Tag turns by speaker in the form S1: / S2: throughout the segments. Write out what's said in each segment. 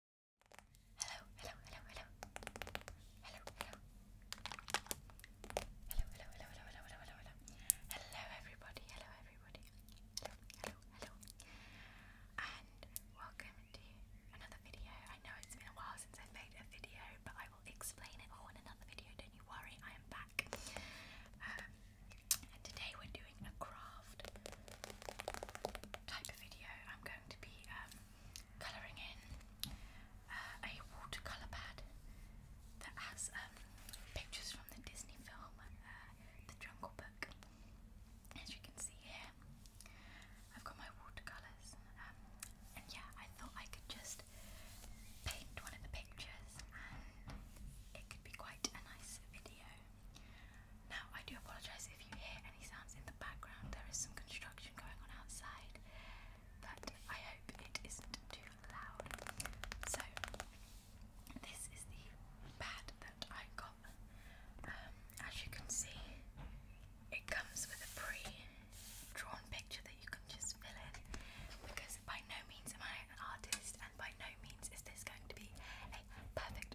S1: Hello, hello, hello, hello. Hello, hello. Hello, hello, hello, hello, hello, hello, hello, hello. Hello everybody, hello everybody. Hello, hello, hello. And welcome to another video. I know it's been a while since I've made a video, but I will explain it all in another video, don't you worry, I am back. Um, and today we're doing a craft type of video, I'm going to be um, colouring in uh, a watercolour pad that has um, pictures from the Disney film uh, The Jungle Book. As you can see here, I've got my watercolours, um, and yeah, I thought I could just paint one of the pictures and it could be quite a nice video. Now, I do apologise if you hear any sounds in the background. There is some construction going on outside, but I hope it isn't too loud. So, this is the pad that I got. Um, as you can see, it comes with a pre drawn picture that you can just fill in because by no means am I an artist, and by no means is this going to be a perfect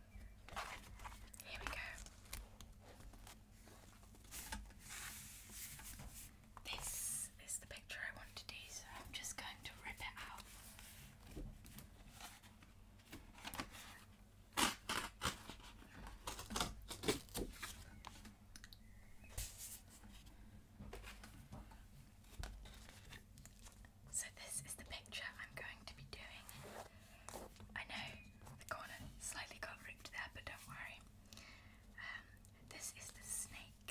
S1: Here we go. This is the picture I want to do, so I'm just going to rip it out. So this is the picture I'm going to be doing. I know the corner slightly got there, but don't worry. Um, this is the snake.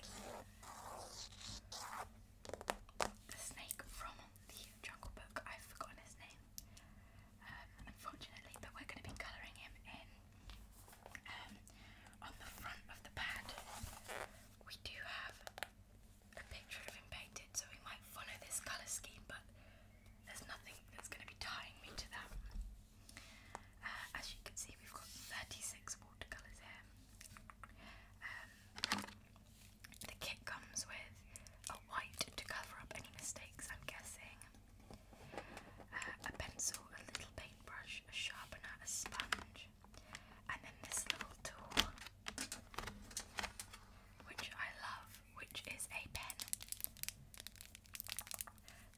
S1: The snake from the Jungle Book. I've forgotten his name, um, unfortunately, but we're going to be colouring him in. Um, on the front of the pad, we do have a picture of him painted, so we might follow this colour scheme, but there's nothing that's going to be tying me to that. Uh, as you can see, we've got 36 watercolours here. Um, the kit comes with a white to cover up any mistakes, I'm guessing, uh, a pencil, a little paintbrush, a sharpener, a sponge, and then this little tool, which I love, which is a pen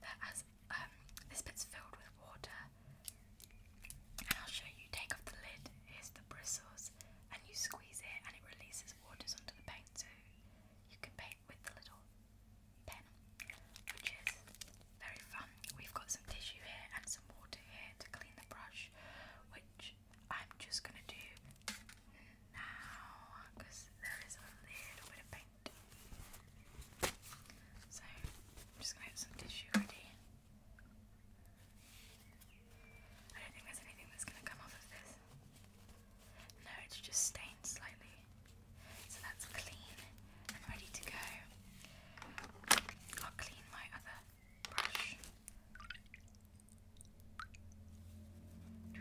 S1: that has um, this bit's filled with water. And I'll show you. Take off the lid. Here's the bristles, and you squeeze it, and it releases waters onto the paint, so you can paint with the little pen, which is very fun. We've got some tissue here and some water here to clean the brush, which I'm just gonna do now because there is a little bit of paint. So I'm just gonna get some tissue ready. I don't think there's anything that's gonna come off of this. No, it's just stained slightly. So that's clean and ready to go. I'll clean my other brush. Oh,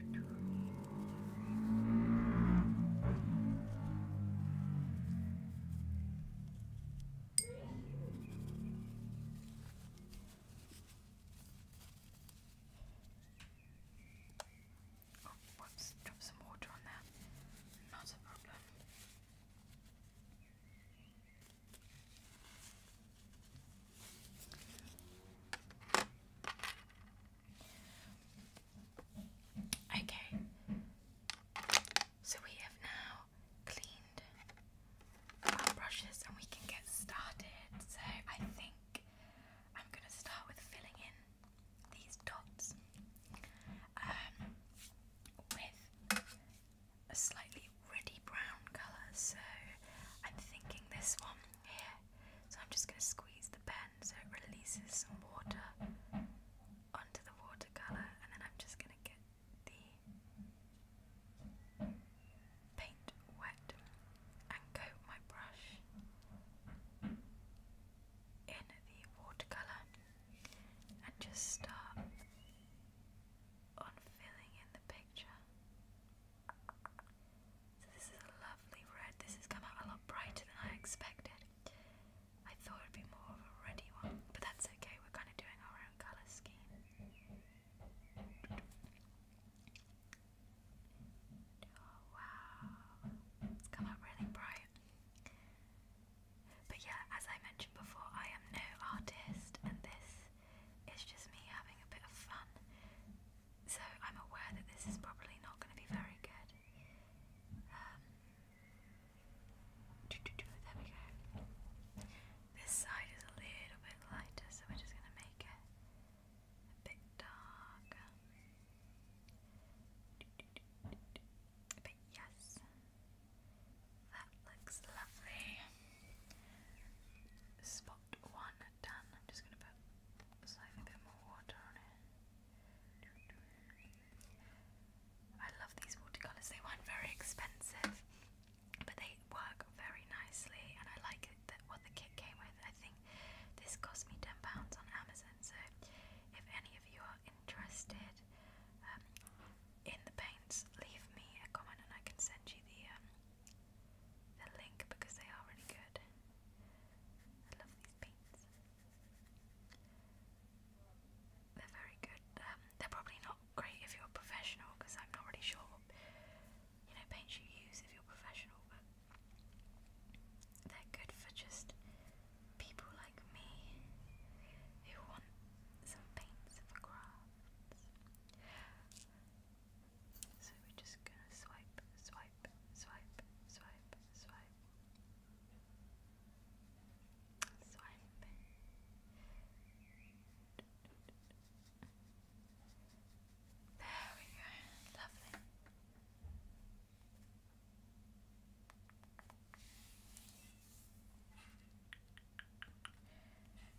S1: whoops, drop some water on there. Not a problem. Okay, so we have now cleaned our brushes and we can get started. So I think I'm going to start with filling in these dots um, with a slightly reddy brown colour, so I'm thinking this one here. So I'm just going to squeeze the pen so it releases some water onto the watercolour, and then I'm just going to get the paint wet and coat my brush in the watercolour and just start on filling in the picture. So this is a lovely red. This has come out a lot brighter than I expected. I thought it would be more of a reddy one, but that's okay. We're kind of doing our own colour scheme. Oh, wow, it's come out really bright. But yeah, as I mentioned before, I am no artist, and this is just me having a bit of fun. So I'm aware that this is probably not going to be very good. Um, there we go. This side is a little bit lighter, so we're just going to make it a bit darker. But yes, that looks lovely. Spot one done. I'm just going to put slightly a bit more water on it. I love these watercolours, they weren't very expensive, but they work very nicely, and I like that what the kit came with. I think this cost me £10 on Amazon, so if any of you are interested, um, in the paints, leave me a comment and I can send you the um, the link because they are really good. I love these paints. They're very good. Um, they're probably not great if you're professional because I'm not really sure what you know paints you use if you're professional, but they're good for just people like me who want some paints for craft sounds. So we're just gonna swipe, swipe, swipe, swipe, swipe. Swipe. There we go. Lovely.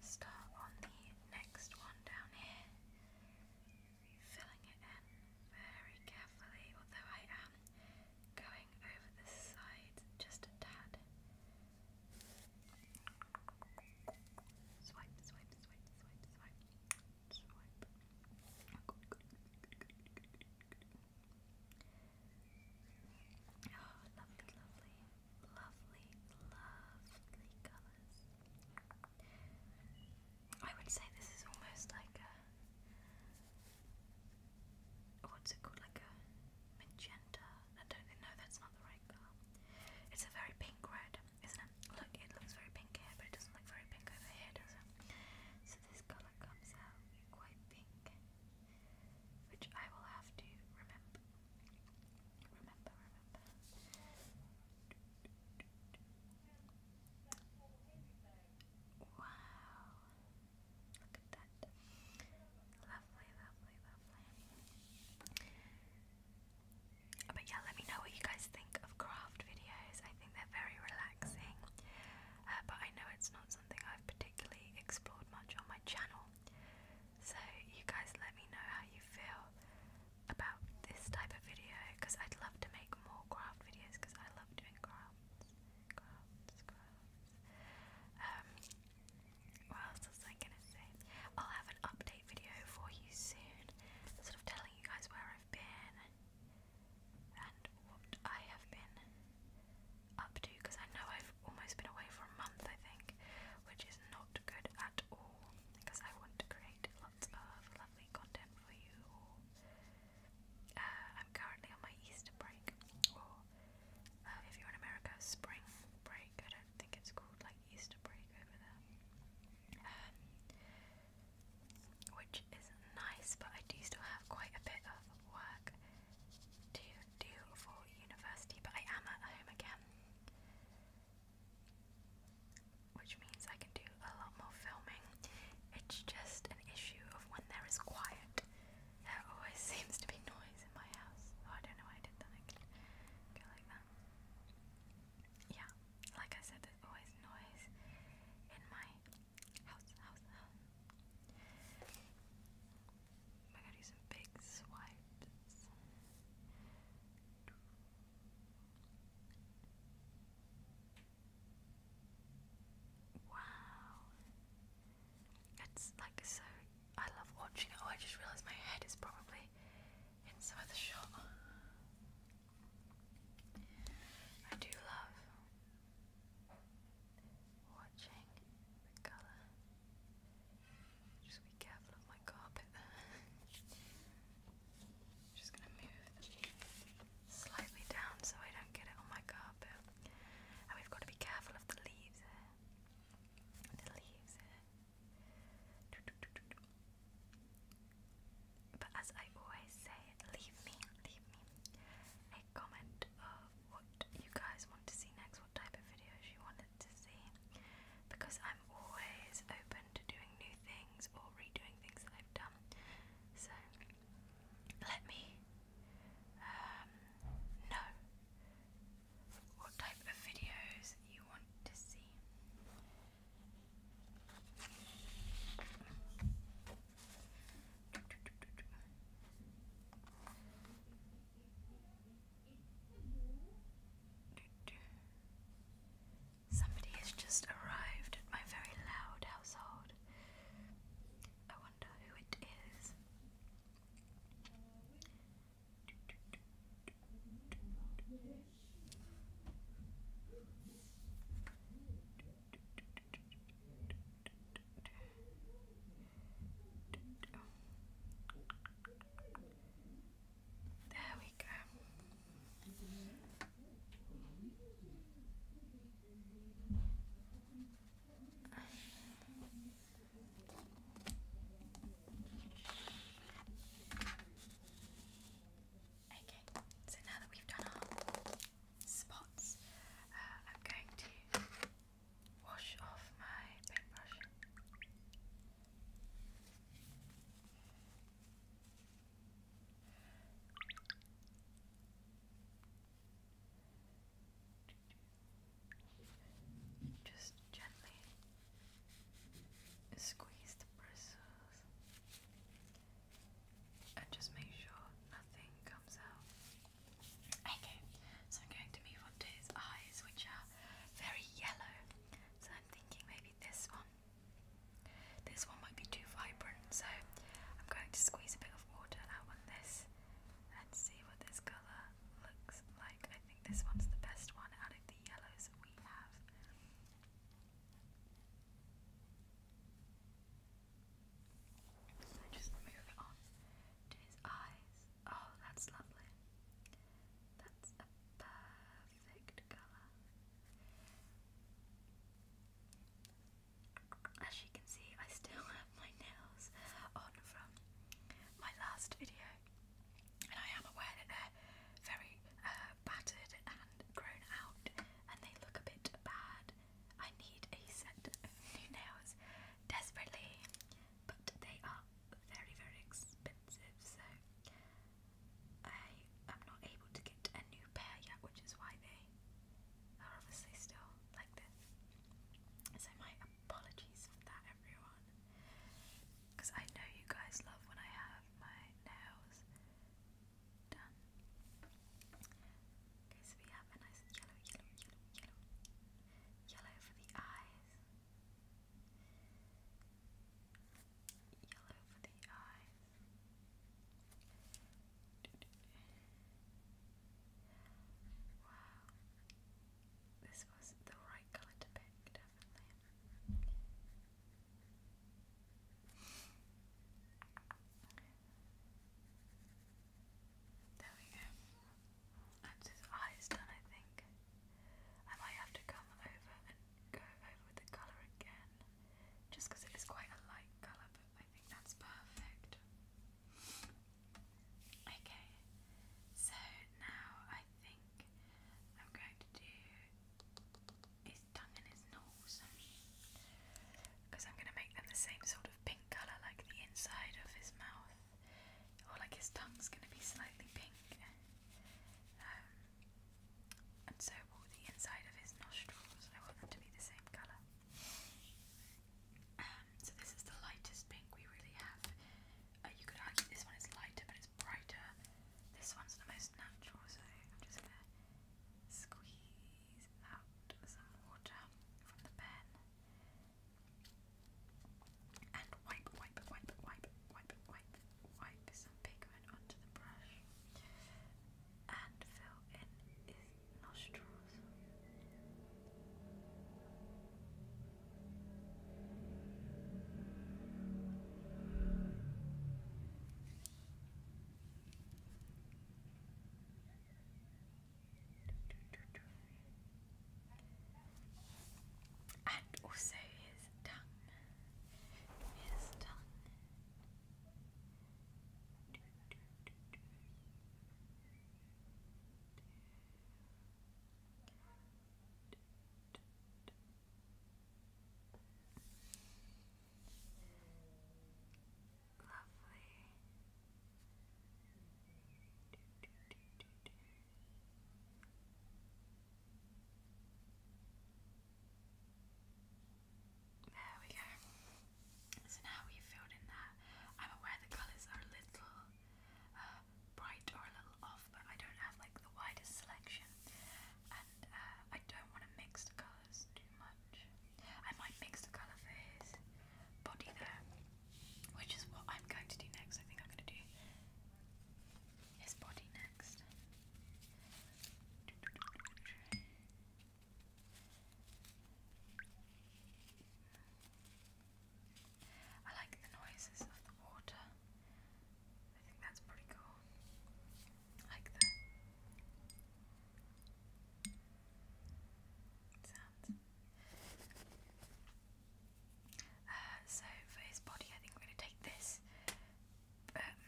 S1: Start on the next one down here, filling it in very carefully, although I am going over the sides just a tad. Swipe, swipe, swipe, swipe, swipe, swipe. I would say this is almost like a what's it called? Like a magenta. I don't know. That's not the right colour. It's a very pink red, isn't it? Look, it looks very pink here, but it doesn't look very pink over here, does it? So this colour comes out quite pink which I will have to remember. Remember, remember. Wow. Look at that. Lovely, lovely, lovely. But yeah, let me know what you guys think of craft videos. I think they're very relaxing. Uh, but I know it's not something I've particularly explored much on my channel. So you guys let me know how you feel about this type of video because I'd love to make more craft videos because I love doing crafts, um, what else was I gonna say? I'll have an update video for you soon, sort of telling you guys where I've been and what I have been up to because I know I've almost been away for a month, I think, which is not good at all because I want to create lots of lovely content for you. Uh, I'm currently on my Easter break, or uh, if you're in America, spring break. I don't think it's called like Easter break over there. Um, which is nice, but I do still have quite a bit of work to do for university, but I am at home again, which means I can do a lot more filming. It's just an issue of when there is quiet, there always seems to be noise in my house. Oh, I don't know why Yeah, like I said, there's always noise in my house. I got some big swipes. Wow. It's like so. I love watching Oh, I just realised my head is probably inside the shot. I do love watching the colour. Just be careful of my carpet there. Just gonna move slightly down so I don't get it on my carpet. And we've got to be careful of the leaves The leaves But as I always say, leave me, leave me comment uh, what you guys want to see next, what type of videos you wanted to see, because I'm always open to doing new things or redoing things that I've done. So let me um, know what type of videos you want to see. Somebody has just arrived at my very loud household. I wonder who it is. There we go. Okay, so now that we've done our spots, uh, I'm going to wash off my paintbrush. Just gently squeeze the bristles and just make sure nothing comes out. Okay, so I'm going to move on to his eyes, which are very yellow. So I'm thinking maybe this one. This one might be too vibrant, so I'm going to squeeze a bit of water out on this and see what this colour looks like. I think this one's the best one out of the yellows that we have just move on to his eyes. Oh, that's lovely. That's a perfect colour. As you can see, I still have my nails on from my last video, and I am aware that they're very uh, battered and grown out, and they look a bit bad. I need a set of new nails desperately, but they are very, very expensive, so I am not able to get a new pair yet, which is why they are obviously still like this. So, my apologies for that, everyone, because I know you guys love when I have my nails done. Okay, so we have a nice yellow, yellow, yellow, yellow, yellow for the eyes, yellow for the eyes. Wow, this was the right color to pick, definitely. There we go. That's eyes done, I think. I might have to come over and go over the colour again. Just because it is quite a light colour, but I think that's perfect. Okay, so now I think I'm going to do his tongue and his nose. Because I'm going to make them the same sort of pink colour, like the inside of his mouth, or like his tongue's going to be slightly pink. Um, and so will the inside of his nostrils. I want them to be the same colour. Um, so this is the lightest pink we really have. Uh, you could argue this one is lighter, but it's brighter. This one's the most natural, so I'm just gonna squeeze squeeze out and wipe, wipe, wipe, wipe, wipe, wipe, wipe some pigment onto the brush and fill in his nostrils. And also his tongue. His tongue. Lovely. Do, There we go. So now we've filled in that. I'm aware the colours are a little uh, bright or a little off, but I don't have like the widest selection, and uh, I don't want to colours too much. I might mix the colour for his body there, which is what I'm going to do next. I think I'm going to do his body next. I like the noises of the water. I think that's pretty cool. like the uh, so for his body, I think we're going to take this,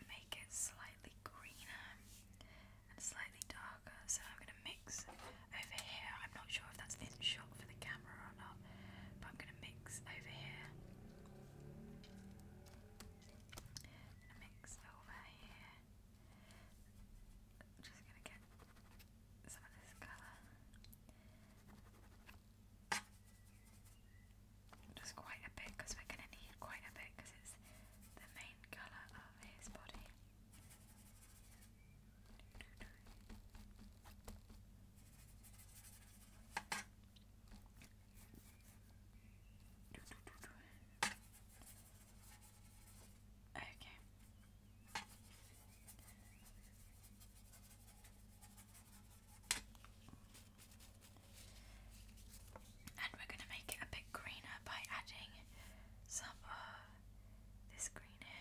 S1: make it slightly greener slightly darker. So I'm going to mix over here. I'm not sure if that's in shot for the camera or not, but I'm going to mix over here. I'm gonna mix over here. I'm just gonna get some of this colour. Just quite a bit because we're gonna need quite a bit because it's the main colour of his body. Okay. And we're going to make it a bit greener by adding some uh, this green here.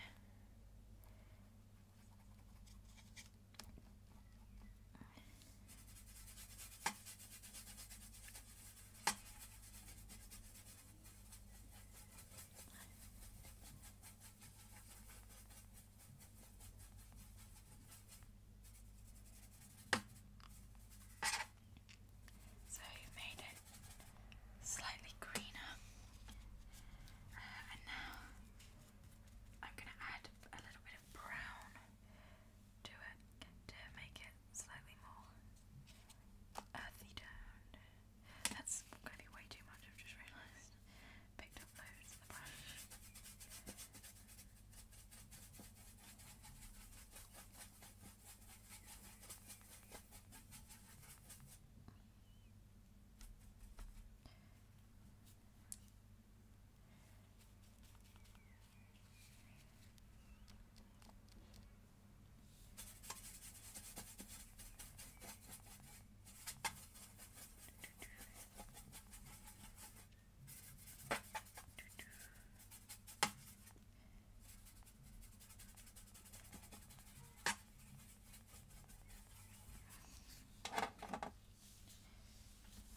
S1: So you made it slightly greener, uh, and now I'm going to add a little bit of brown to it to make it slightly more Earthy Down. That's gonna be way too much, I've just realised. Picked up loads of the brush.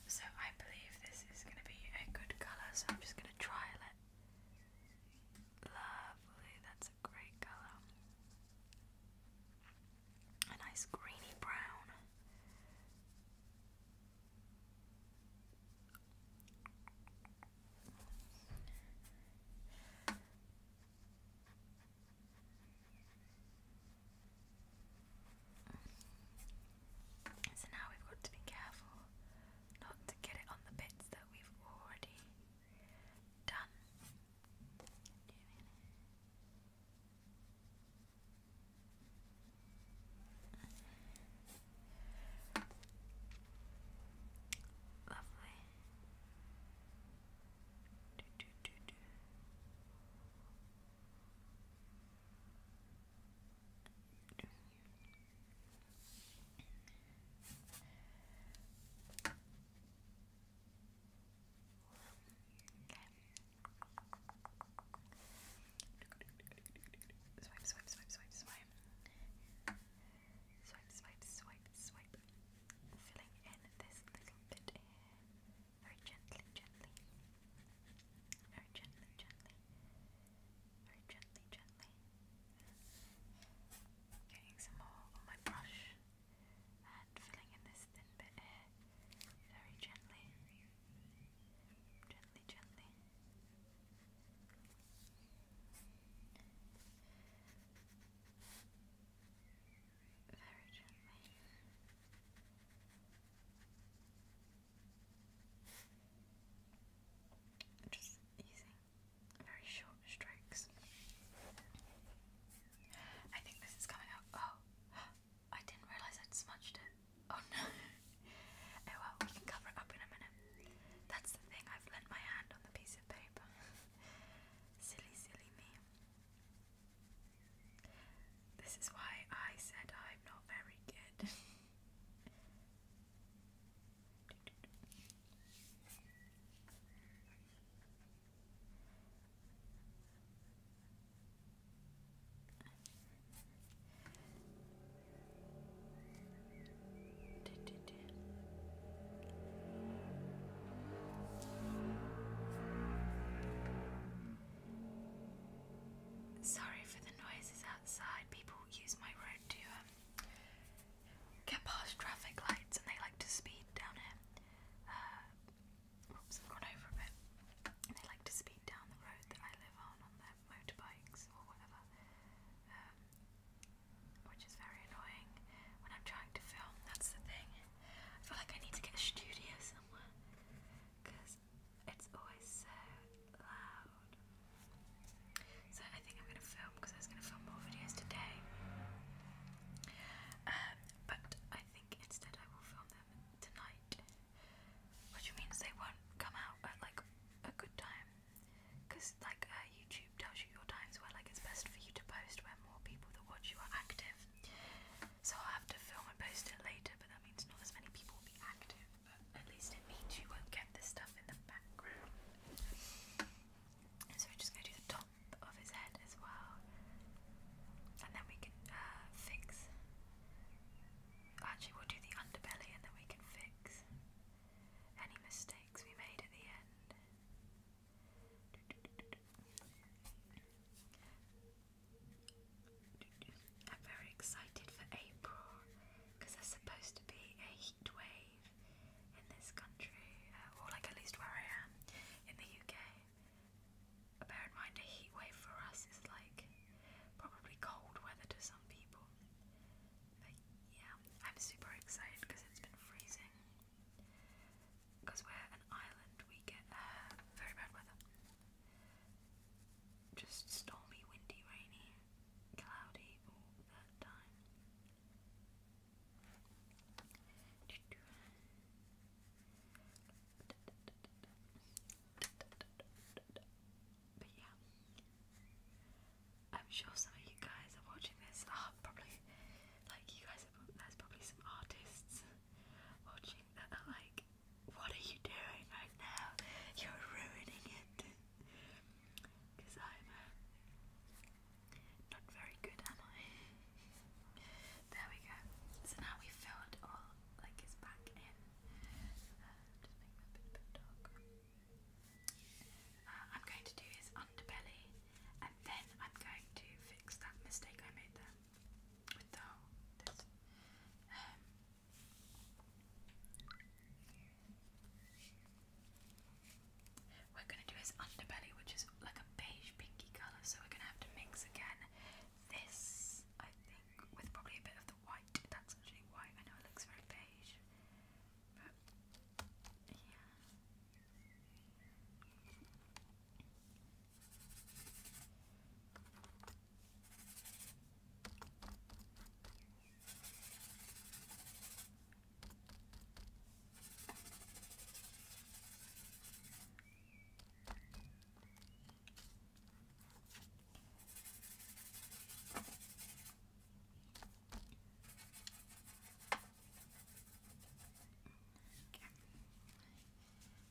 S1: So I believe this is going to be a good colour, so I'm just going to trial it. Lovely, that's a great color. A nice greeny brown. So now we've got to be careful not to get it on the bits that we've already done. Lovely. Do, do, do, do. Do. Swipe, swipe, swipe, swipe, swipe. Swipe, swipe, swipe, swipe. Filling in this little bit here. Very gently, gently. Very gently, gently. Very gently, gently. Getting some more on my brush and filling in this thin bit here. Very gently. Gently, gently. Very gently. Just using very short strokes. I think this is coming out. Oh, I didn't realise I'd smudged it. Oh no. Oh well, we can cover it up in a minute. That's the thing, I've lent my hand on the piece of paper. silly, silly me. This is why I said I'm not very good. Sorry for the noises outside. People use my road to get past traffic lights and they like to speed down here. Uh, oops, I've gone over a bit. they like to speed down the road that I live on on their motorbikes or whatever, um, which is very annoying when I'm trying to film. That's the thing. I feel like I need to get a studio somewhere because it's always so so I think I'm gonna film because I was gonna film more videos today. Um, but I think instead I will film them tonight, which means they won't come out at like a good time, because like uh, YouTube tells you your times where like it's best for you to post where more people that watch you are active. So I'll have to film and post it later, but that means not as many people will be active at least it means you won't get this stuff in the background. So we just going do the top of his head as well, and then we can uh, fix. Actually, we'll do the underbelly, and then we can fix any mistakes we made at the end. I'm very excited for April because they're supposed to be a heat in this country, uh, or like at least where I am in the UK. Bear in mind, a heat for us is like probably cold weather to some people. But yeah, I'm super excited because it's been freezing. Because we're an island, we get uh, very bad weather. Just stormy, windy, rainy cloudy But yeah, I'm sure some of you guys are watching this are ah, probably like you guys There's probably some artists watching that are like, "What are you doing right now? You're ruining it." Because uh, i there we go. So now we filled all like his back in. Uh, just make that bit, bit darker. Uh, I'm going to do his underbelly, and then I'm going to fix that mistake I made there with the um, we're going to do his underbelly, which is like a beige pinky colour, so we're going to have to mix again this, I think, with probably a bit of the white. That's actually white, I know it looks very beige, but yeah.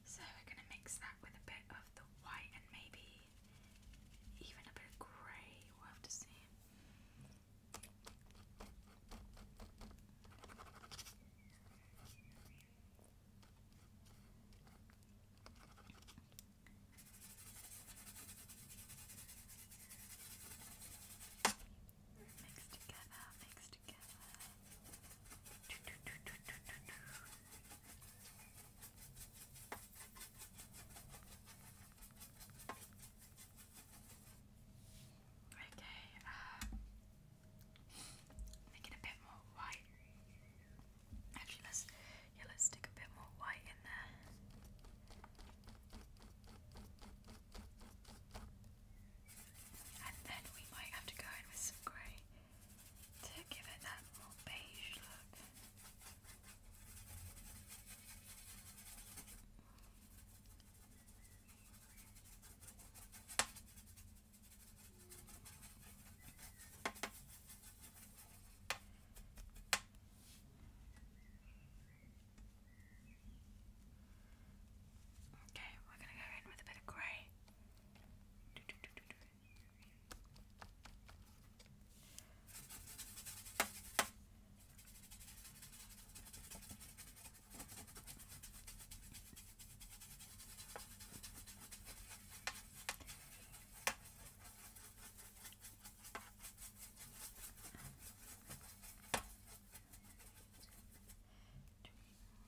S1: So we're going to mix that with a bit of the white and maybe even a bit grey. We'll have to see. Mix together, mix together. Do, do, do, Okay, uh, make it a bit more white. Actually, let's yeah, let's stick a bit more white in there. And then we might have to go in with some grey to give it that more beige look. Okay, we're going to go in with a bit of grey. Do, do, do, do, do.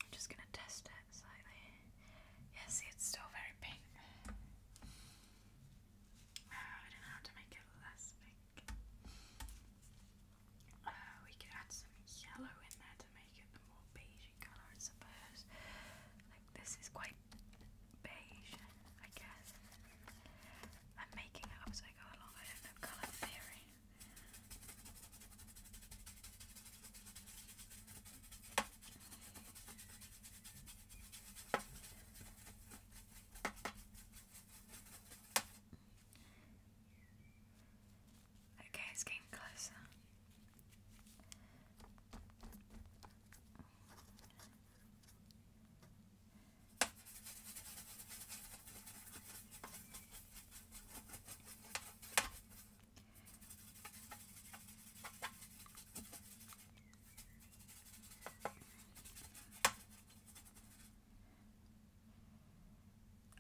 S1: I'm just going to test it slightly. Yeah, it's still very pink. Uh, I don't know how to make it less big. Uh, we could add some yellow in there to make it more beigey colour, I suppose. Like this is quite beige, I guess. I'm making up as I go along. I don't know colour theory. Okay, it's getting closer.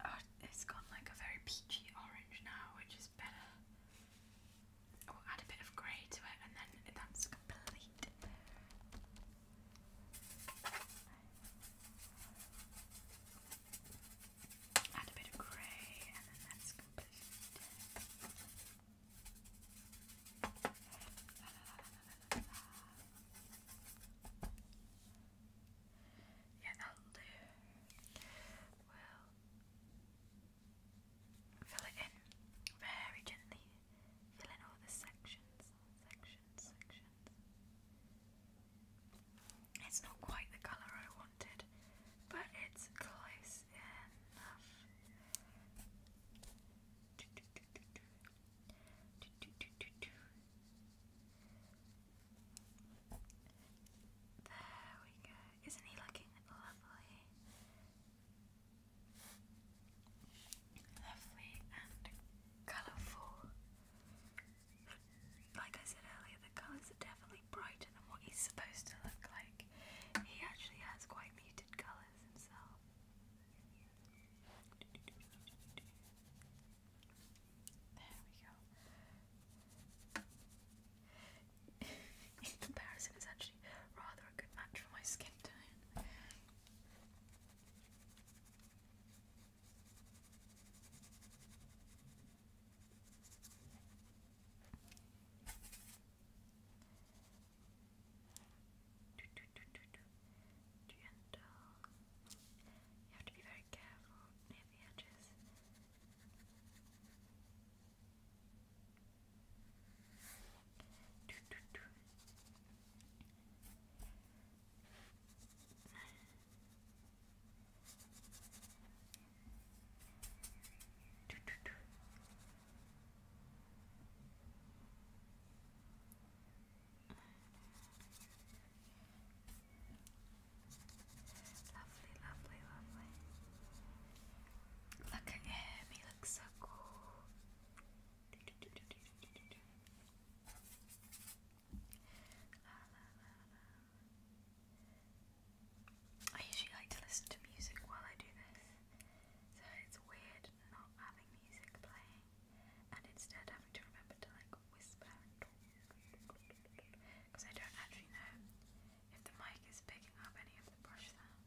S1: Oh, it's gone like a very peachy orange now, which is better. We'll oh, add a bit of grey to it, and then that's complete. Add a bit of grey, and then that's complete. Yeah, that'll do. We'll fill it in very gently. Fill all the sections, sections, sections. It's not quite the colour I want but it's close enough. There we go. Isn't he looking lovely? Lovely and colourful. Like I said earlier, the colours are definitely brighter than what he's supposed to look like. He actually has quite muted colours himself. There we go. In comparison, it's actually rather a good match for my skin tone. Gentle. You have to be very careful near the edges. Lovely, lovely, lovely. Look at him, he looks so cool. I usually like to listen to music while I do this, so it's weird not having music playing and instead having to remember to like whisper because I don't actually know if the mic is picking up any of the brush sounds.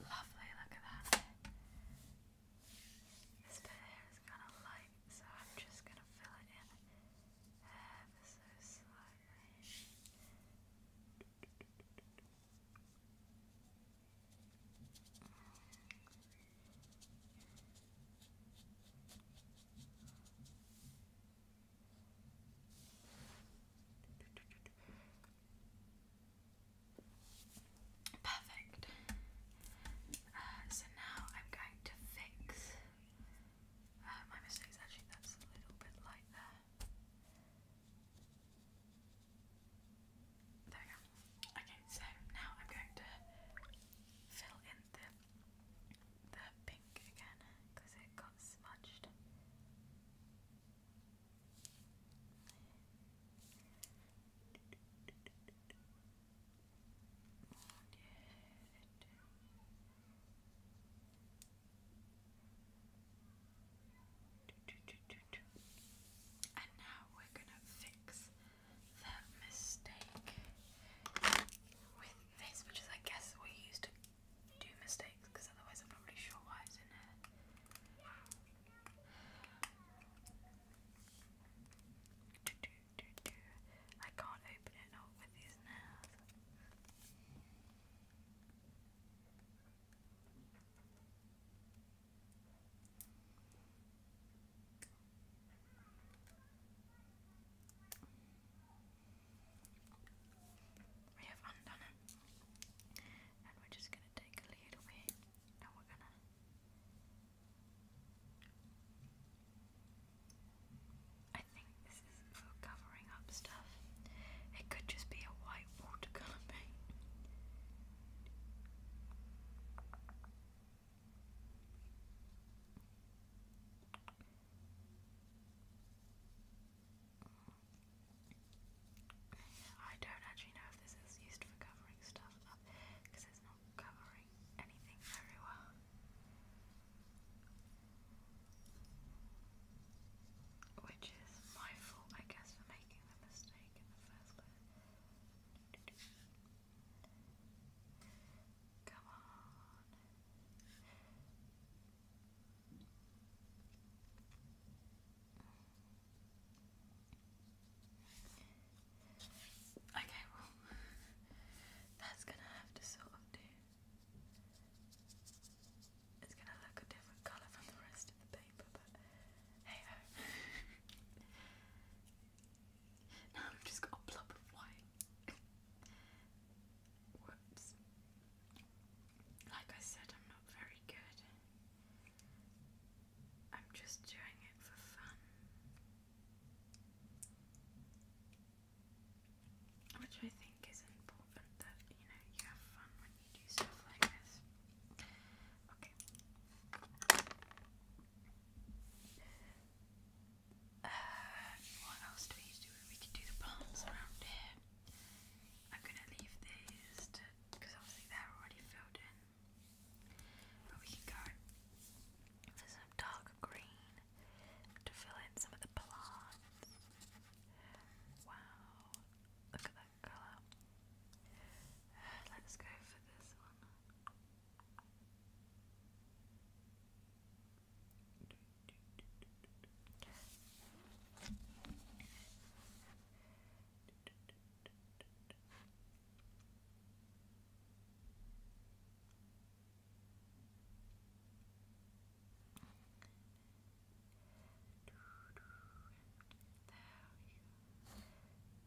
S1: Lovely, look at that. This bit here is kind of light, so I'm just going to fill it in ever so slightly. Perfect. Uh, so now I'm going to fix uh, my mistakes. Actually, that's a little bit light There we go. Okay, so now I'm going to fill in the the pink again because it got smudged. And now we're gonna fix that mistake with this, which is, I guess, what you to do mistakes, because otherwise I'm not really sure why it's in here. I can't open it up with these nails. We have undone it. And we're just going to take a little bit and we're going to I think this is for covering up stuff. It could just be a white watercolour paint. I don't actually know if this is used for covering stuff up because it's not covering anything very well. Which is my fault, I guess, for making the mistake in the first place. Come on. Okay, well, that's gonna have to sort of do. It's gonna look a different colour from the rest of the paper, but now I've just got a blob of white. Whoops. Like I said, I'm not very good. I'm just doing it for fun. Which I think is important that, you know, you have fun when you do stuff like this. Okay. Uh, what else do we do? We could do the palms around here. I'm gonna leave these because obviously they're already filled in. But we can go for some dark green to fill in some of the plants. Wow, look at that that colour. let's go for this one. There we go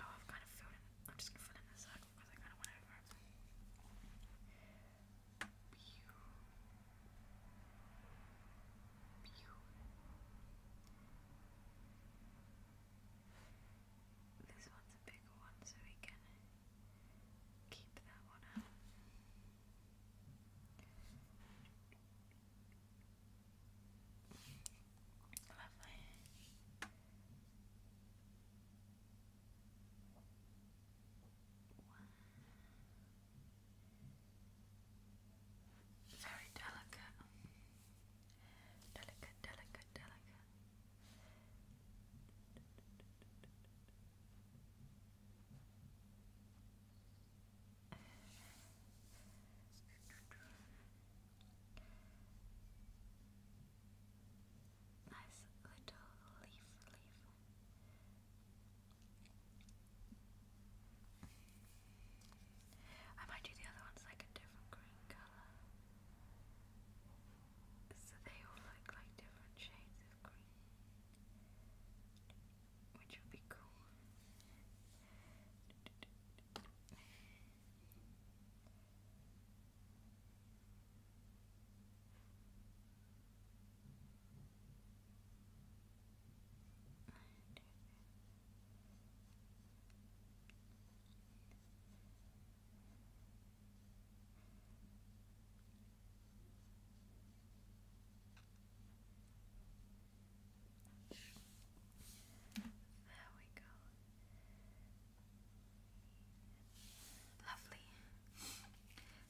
S1: Oh, I've kind of filled I'm just gonna fill in the because I kind of went over this one's a bigger one, so we can keep that one out. Lovely. One, very delicate. Delicate, delicate, delicate. Nice little leaf, leaf. I might do the other ones like a different green colour. So they all look like different shades of green. Which would be cool. There we go. Lovely.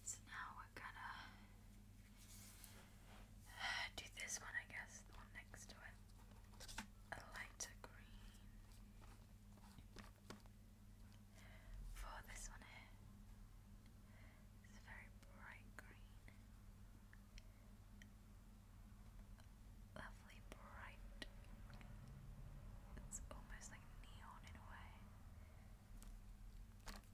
S1: So now we're uh, do this one, I guess, the one next to it. A lighter green for this one here. It's a very bright green. Lovely bright. It's almost like neon in a way.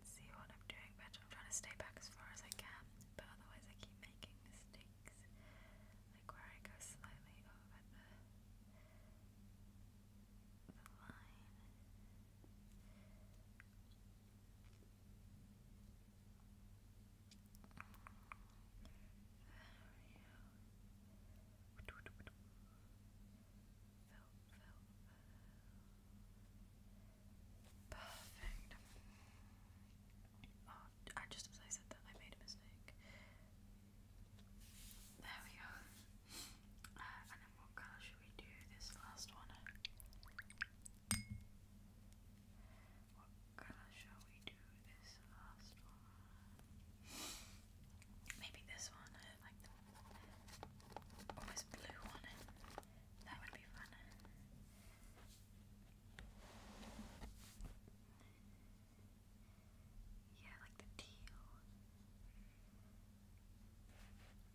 S1: see what I'm doing, but I'm trying to stay back as far as I can, but otherwise I keep making mistakes, like where I go slightly over the, line. There we go. Perfect. Oh, I just as I said that, I made a mistake. There we go. Uh, and then what colour should we do this last one? What colour shall we do this last one? Maybe this one, uh, like the almost blue one. That would be fun. Yeah, like the teal.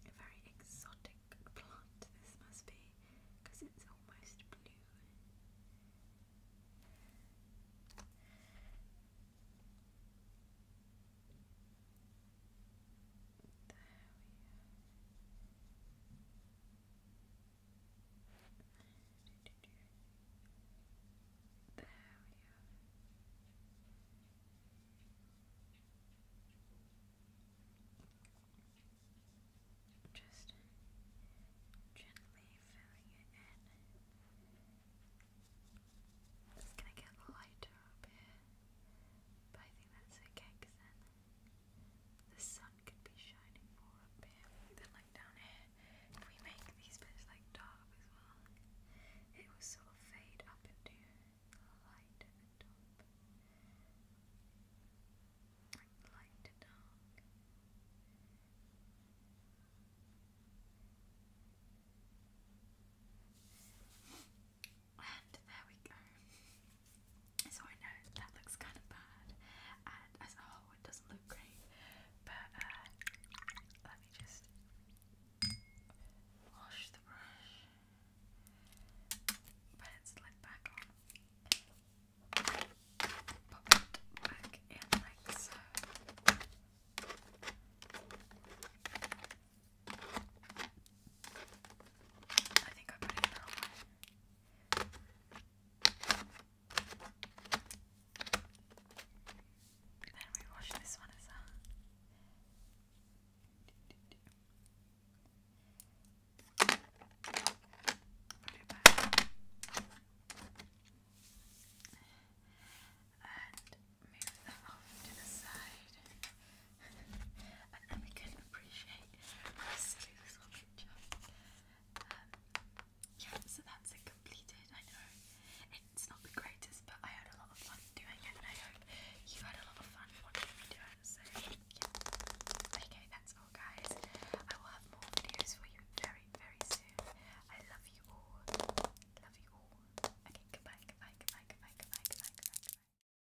S1: A very exotic plant this must be, because it's almost blue. Just gently filling it in. It's gonna get lighter up here, but I think that's okay because then the sun could be shining more up here than like down here. If we make these bits like dark as well, it will sort of fade up into light at the top. Like light to dark. And there we go. So I know that looks kind of bad, and as a oh, whole, it doesn't look great. But uh, let me just wash the brush, put its back on, pop it back in like so. I think Then we wash this one as well. Put it back. And move that off to the side and then we can appreciate how silly this whole picture. yeah, so that's it completed. I know it's not the greatest, but I had a lot of fun doing it, and I hope you had a lot of fun watching me do it. So, yeah. Okay, that's all, guys. I will have more videos for you very, very soon. I love you all. Love you all. Okay, goodbye, goodbye, goodbye, goodbye, goodbye, goodbye, goodbye. goodbye.